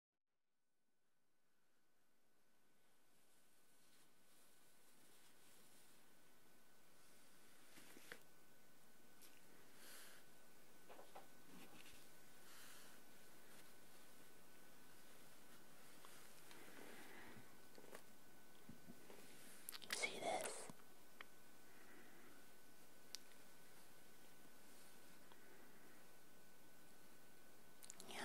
You see this? Yeah.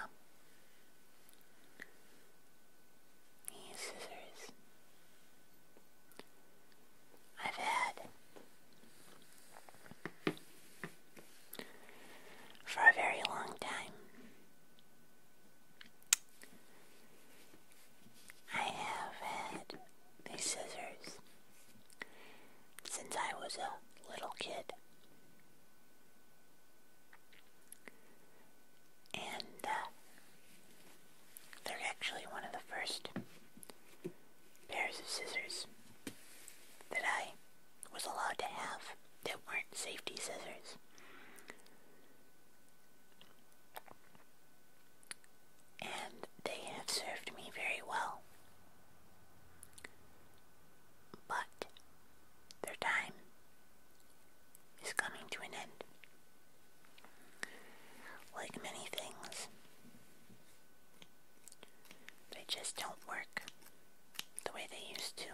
These scissors. I've had for a very long time. I have had these scissors since I was a little kid. And uh, they're actually one of the first pairs of scissors that I was allowed to have that weren't safety scissors. And they have served me very well but their time is coming to an end. Like many things, they just don't work the way they used to.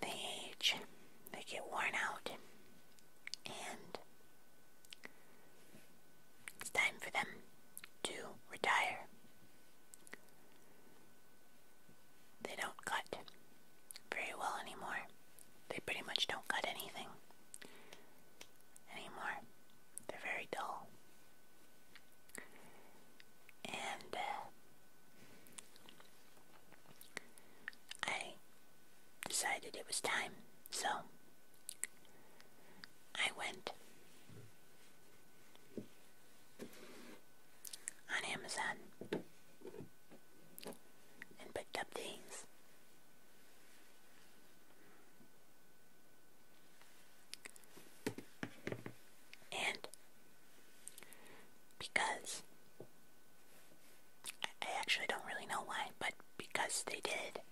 They age, they get worn out, and it's time for them to retire. They don't cut very well anymore. They pretty much don't cut anything anymore. They're very dull. And uh, I decided it was time, so I went on Amazon and picked up these. And because I actually don't really know why, but because they did,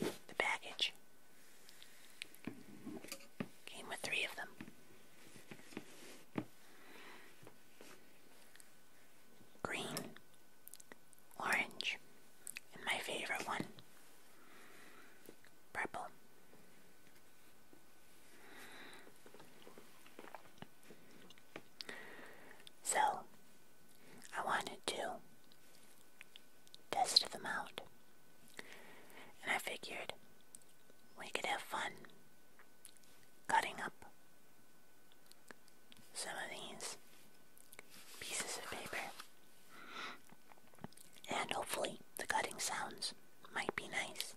the package came with three of them. Green, orange, and my favorite one, purple. So, I wanted to test them out. And I figured we could have fun cutting up some of these pieces of paper. And hopefully the cutting sounds might be nice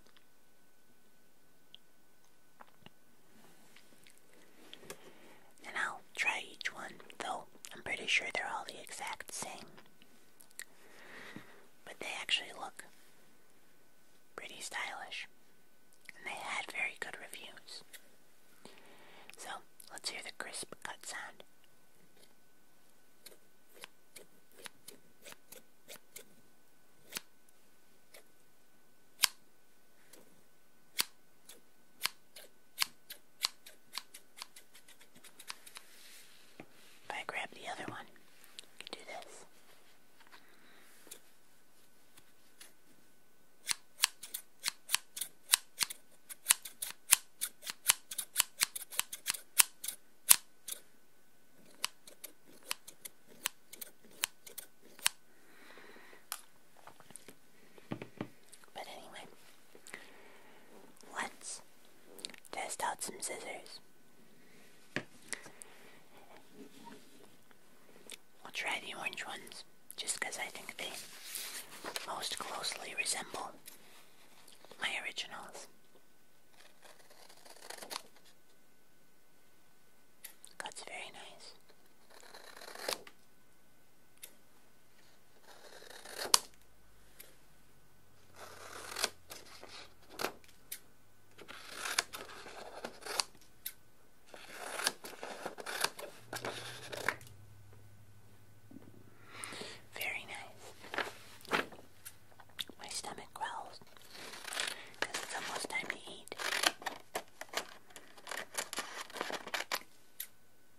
and I'll try each one, though I'm pretty sure they're all the exact same. But they actually look pretty stylish, and they had very good reviews. So, let's hear the crisp cut sound. If I grab the other one, I can do this. But anyway, let's test out some scissors. I'll try the orange ones just I think they most closely resemble my originals. That's very nice. Very nice. My stomach growls because it's almost time to eat.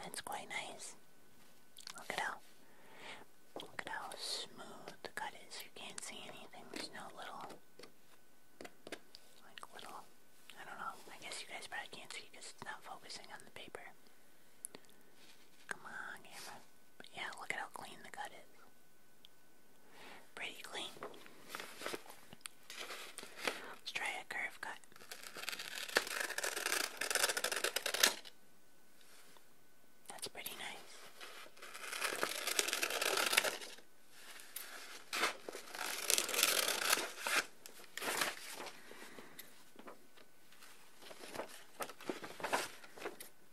That's quite nice. Look at how look at how smooth the cut is. You can't see anything. There's no little like little I don't know. I guess you guys probably can't see because it's not focusing on the paper. Come on, camera. yeah, look at how clean the cut is. Pretty clean. Let's try a curve cut. That's pretty nice.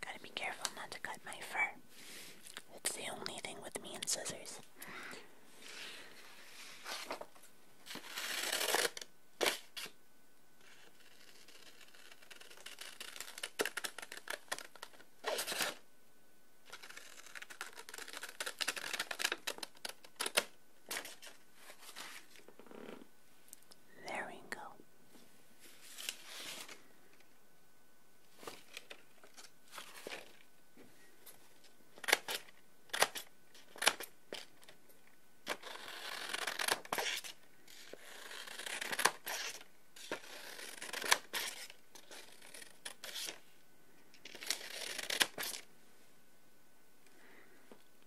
Gotta be careful not to cut my fur. It's the only thing with me and scissors. There we go.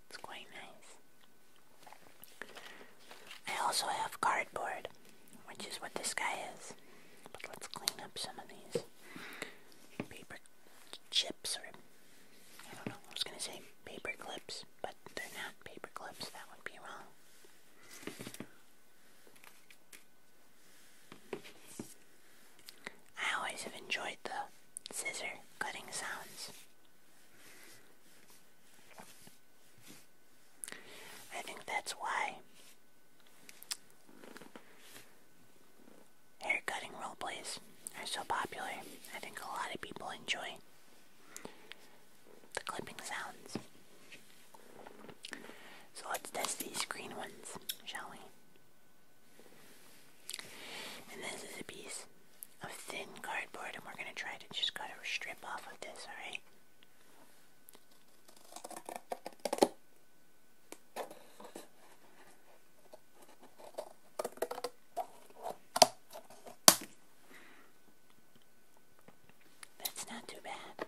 It's quite nice. I also have cardboard, which is what this guy is. But let's clean up some of these paper chips, or I don't know, I was gonna say paper clips, but they're not paper clips, that would be wrong. I always have enjoyed the scissor cutting sounds. I think that's why haircutting plays are so popular. I think a lot of people enjoy the clipping sounds. So let's test these green ones, shall we? And this is a piece of thin cardboard, and we're going to try to just cut a strip off of this, alright? That's not too bad.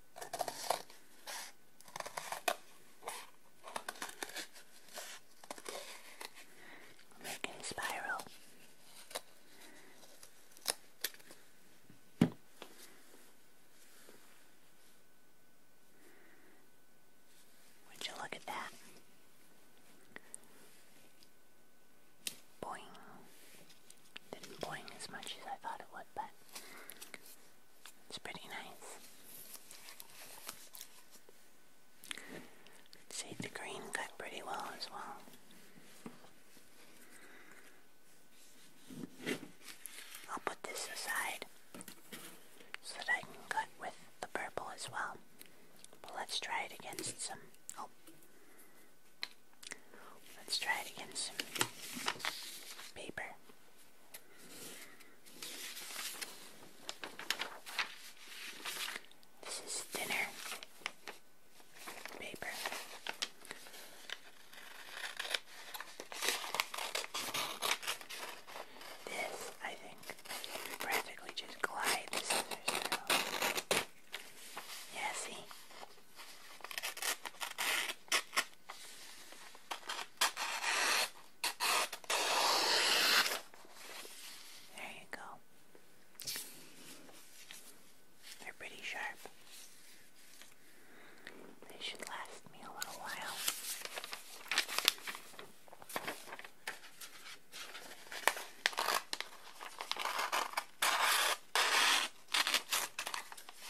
I'm making a spiral. Would you look at that? Boing. Didn't boing as much as I thought it would, but it's pretty nice. See the green cut pretty well as well. I'll put this aside so that I can cut with the purple as well. let's try it against some. Oh. Let's try it against some paper. This is thinner paper. This, I think, you practically just glide the scissors through. Yeah, see? There you go. They're pretty sharp. They should last me a little while.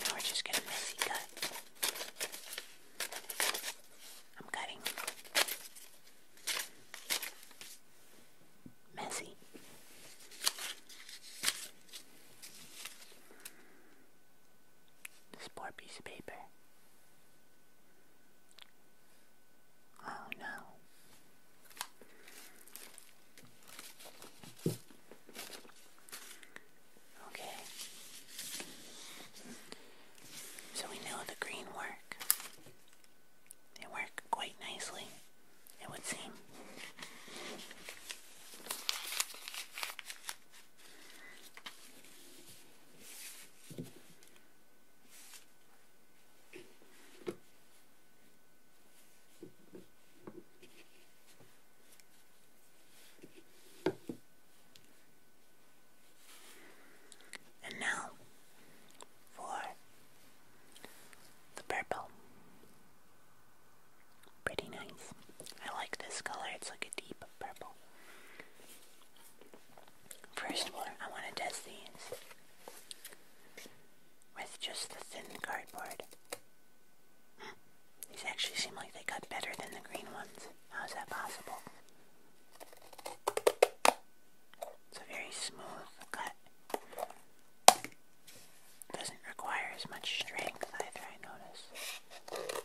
Now we're just going to messy cut. I'm cutting. Messy. This poor piece of paper. Oh no. Okay. So we know the green work. They work quite nicely, it would seem. And now for the purple. Pretty nice. I like this color. It's like a deep purple. First one, I want to test these with just the thin cardboard. These actually seem like they cut better than the green ones. How is that possible? It's a very smooth cut. Doesn't require as much strength either, I notice.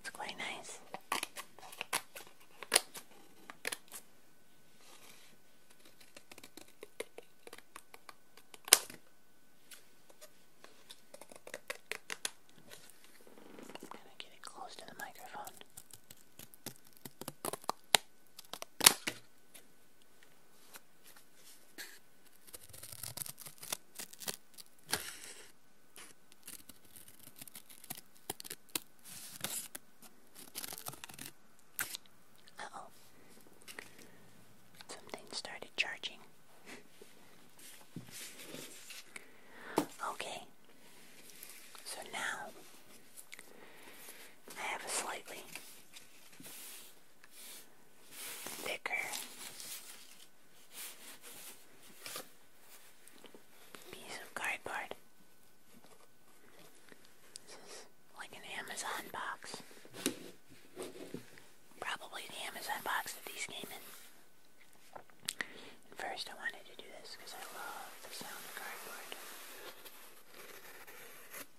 It's quite nice. I'm going to get it close to the microphone. Uh oh. Something started charging. okay. So now I have a slightly thicker piece of cardboard. This is like an Amazon box. Probably the Amazon box that these came in. first I wanted to do this because I love the sound of cardboard.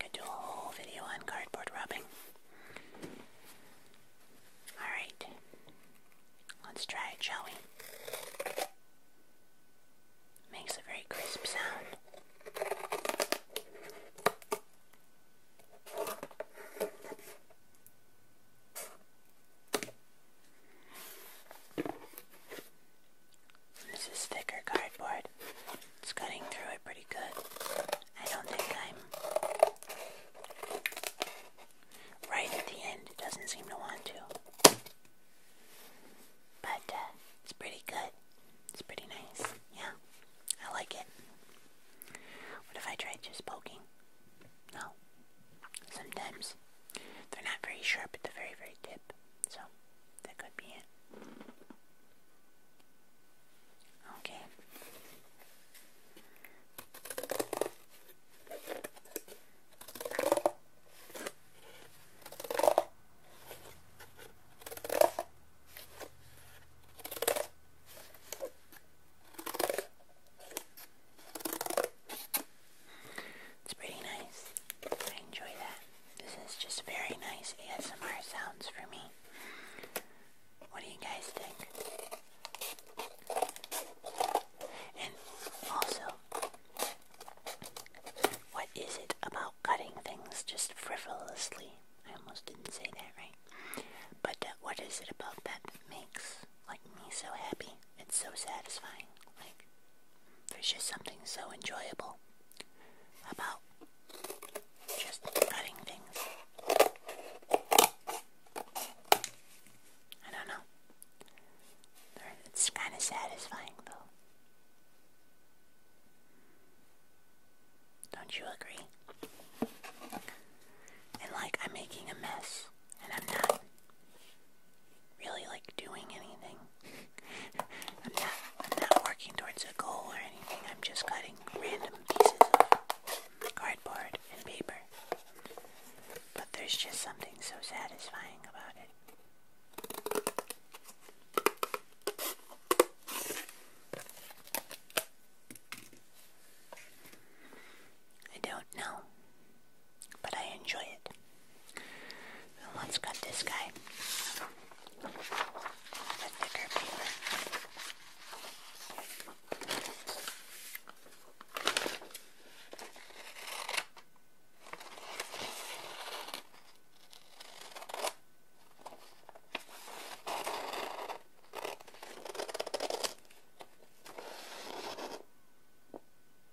Could do a whole video on cardboard rubbing. Alright, let's try it, shall we? Makes a very crisp sound. This is thicker cardboard. It's cutting through it pretty good. I don't think I'm right at the end. It doesn't seem to want to. But uh, it's pretty good. It's pretty nice. Yeah, I like it. What if I tried just poking? No. Sometimes they're not very sharp at the very, very tip. So, that could be it. Okay. It's pretty nice. I enjoy that. This is just very nice ASMR sounds for me. What do you guys think? And also, what is it about cutting things just frivolously? I almost didn't say that right. But uh, what is it about that makes like me so happy. It's so satisfying. Like there's just something so enjoyable about just cutting things. I don't know. It's kind of satisfying though. Don't you agree? And like I'm making a mess and I'm not really like doing anything. I'm not I'm not working towards a goal or anything. I'm just cutting random pieces of cardboard and paper. But there's just something so satisfying about it. I don't know, but I enjoy it. let's cut this guy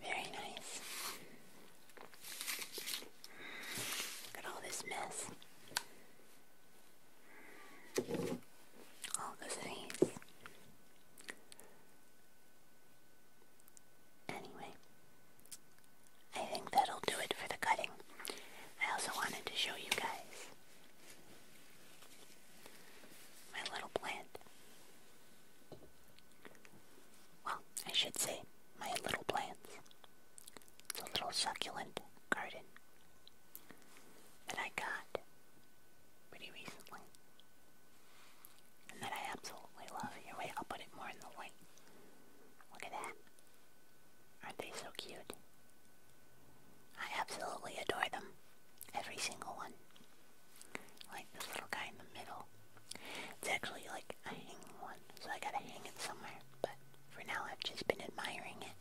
Very nice. Look at all this mess. All the things. Anyway, I think that'll do it for the cutting. I also wanted to show you guys my little plant. Well, I should say my little plants. It's a little succulent garden that I got pretty recently and that I absolutely love. wait, I'll put it more in the light. Look at that. Aren't they so cute? I absolutely adore them. Every single one. Like this little guy in the middle. It's actually like a hanging one, so I gotta hang it somewhere. But for now, I've just been admiring it.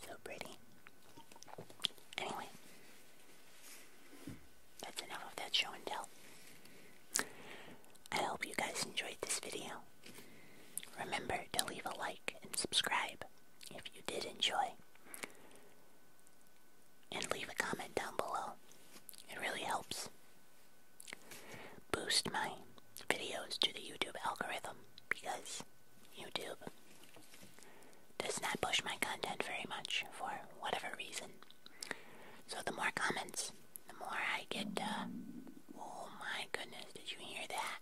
So pretty. Anyway, that's enough of that show and tell. I hope you guys enjoyed this video. Remember to leave a like and subscribe if you did enjoy. And leave a comment down below. It really helps boost my videos to the YouTube algorithm because YouTube does not push my content very much for whatever reason. So the more comments, the more I get. Uh, oh my goodness! Did you hear that?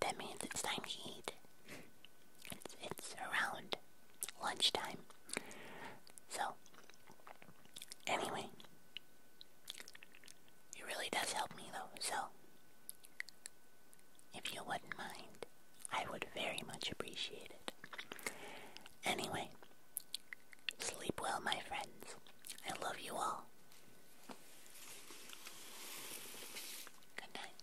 That means it's time to eat. it's around lunchtime. So anyway, it really does help me though. So if you wouldn't mind, I would very much appreciate it. Anyway, sleep well, my friends. I love you all. Good night.